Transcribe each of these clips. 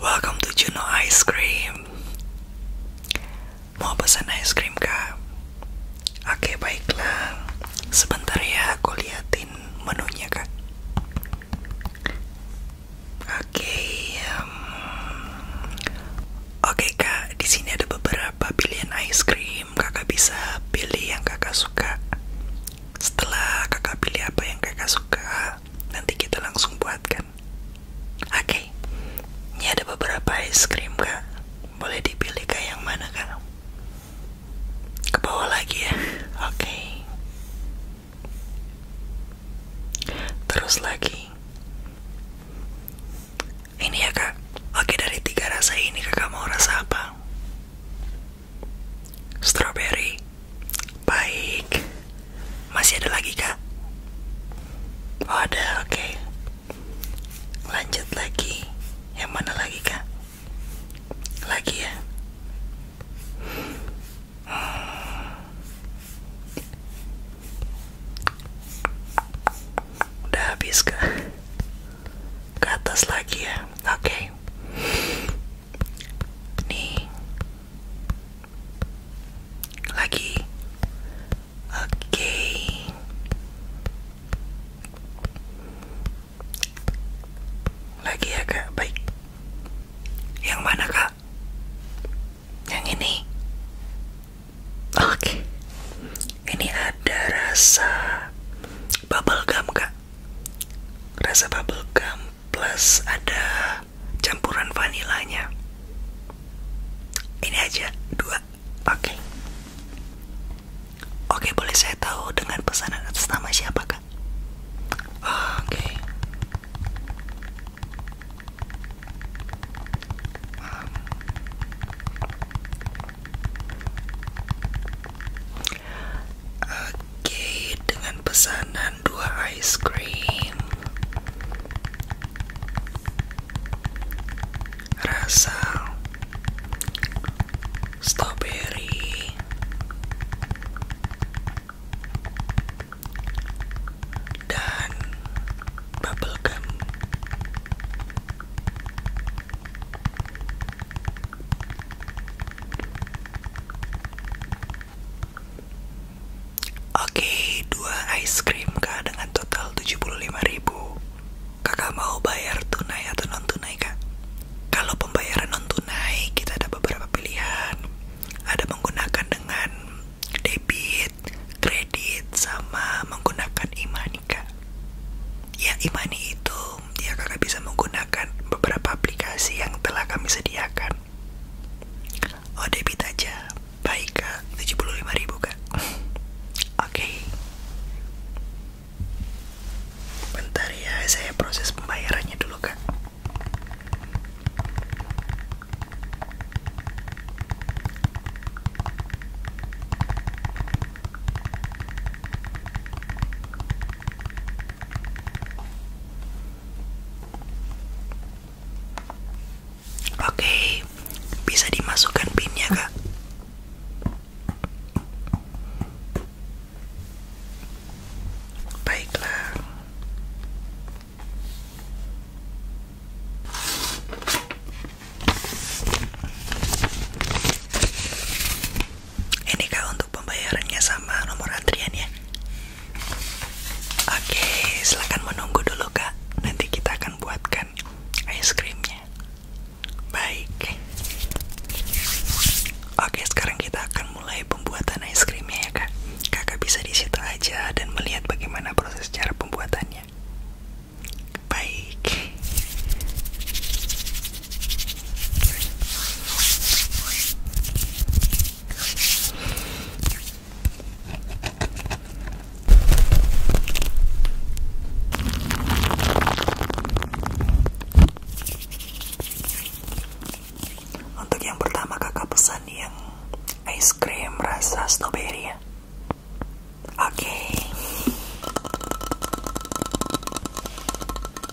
Welcome to Juno Ice Cream. Mau pesan ice cream kak? Oke baiklah. Sebentar ya aku liatin menunya kak. Oke. Oke kak, di sini ada beberapa pilihan ice cream. Kakak bisa pilih yang kakak suka. Setelah kakak pilih apa yang kakak suka, nanti kita langsung buatkan. Oke, ini ada beberapa es krim kak. Boleh dipilih kak yang mana kak? Ke bawah lagi ya. Oke. Terus lagi. Ini ya kak. Oke dari tiga rasa ini kakak mau rasa apa? Strawberry, Baik. Masih ada lagi, Kak? Oh, ada. Oke. Lanjut lagi. Yang mana lagi, Kak? Lagi ya. Udah habis, Kak. Ke atas lagi ya. Oke. Bening Lagi Oke Lagi ya kak, baik Yang mana kak? Yang ini? Oke Ini ada rasa bubble gum kak Rasa bubble gum plus ada campuran vanilanya ini aja dua oke okay. oke okay, boleh saya tahu dengan pesanan atas nama siapa kak oh, oke okay. um. Oke, dengan pesanan dua ice cream. Rasa strawberry. Dan bubble gum. Oke, dua ice cream kak dengan total 75.000. Kakak mau bayar tunai atau non tunai kak? Kalau pembayaran non tunai kita ada beberapa pilihan. Ada menggunakan dengan debit, kredit, sama menggunakan imani kak. Ya imani itu dia kakak bisa menggunakan beberapa aplikasi yang telah kami sediakan oh debit aja baik kak 75 ribu kak oke okay. ya saya proses pembayarannya dulu kak Oke, bisa dimasukkan pinnya kak? Baiklah. Ini kak untuk pembayarannya sama nomor antrian ya Oke silahkan menunggu dulu kak Nanti kita akan buatkan ice creamnya Baik Oke sekarang kita akan mulai pembuatan ice creamnya ya kak Kakak bisa disitu aja dan melihat bagaimana proses cara pembuatannya Baik untuk yang pertama kakak pesan yang ice cream rasa stroberi ya. Oke.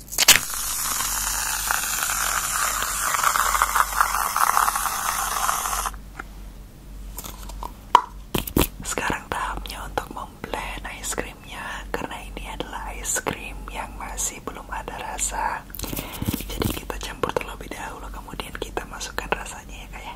Sekarang tahapnya untuk memblend ice creamnya karena ini adalah ice cream yang masih belum ada rasa. Jadi kita campur terlebih dahulu kemudian kita masukkan rasanya ya kayak. Ya.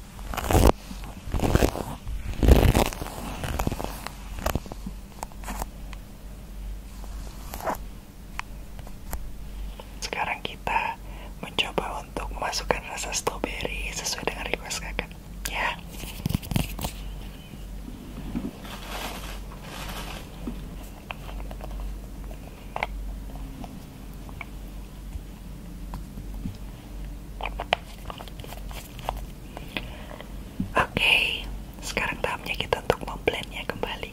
Sekarang kita mencoba untuk memasukkan rasa stroberi sesuai dengan request kakak, ya. Oke, sekarang tahapnya kita untuk memblendnya kembali.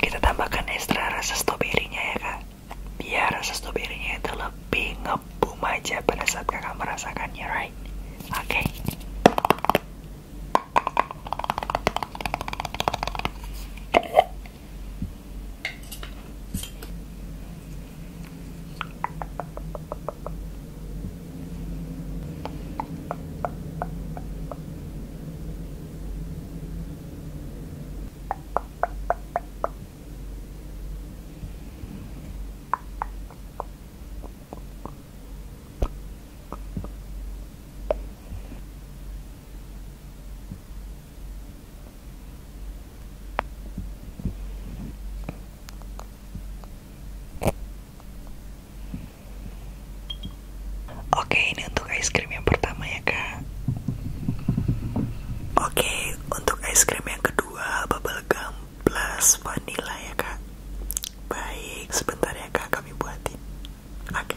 Kita tambahkan ekstra rasa stroberinya ya kak Biar rasa stroberinya itu lebih ngebum aja pada saat kakak merasakannya, right? Oke. Okay. Oke, ini untuk ice cream yang pertama ya, Kak. Oke, untuk ice cream yang kedua, bubble gum plus vanilla ya kak baik sebentar ya kak kami buatin oke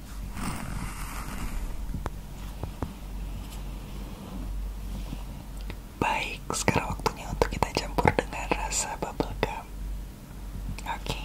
Baik, sekarang waktunya untuk kita campur dengan rasa bubble gum. Oke.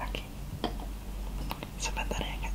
Oke, sebentar ya kak.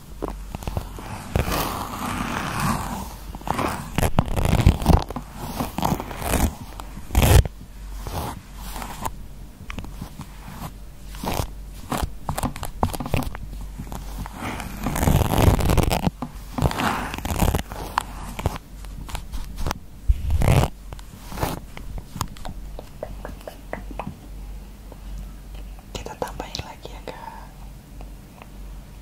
kita tambahin lagi ya kak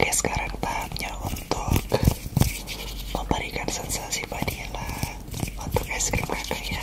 Oke, sekarang tahapnya untuk memberikan sensasi vanilla untuk es krim kakak ya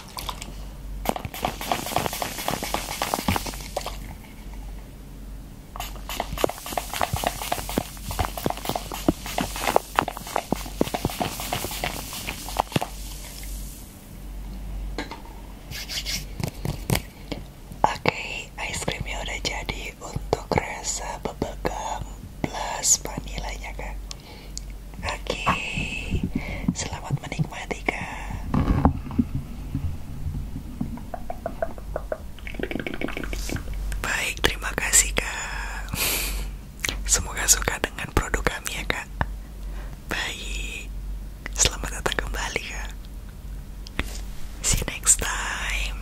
Oke, ice creamnya udah jadi untuk rasa bubble gum plus vanilanya kan. Oke, selamat menikmati kak. Baik, terima kasih kak. Semoga suka dengan produk kami ya kak. Baik, selamat datang kembali kak. See you next time.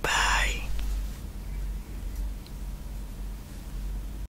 Bye.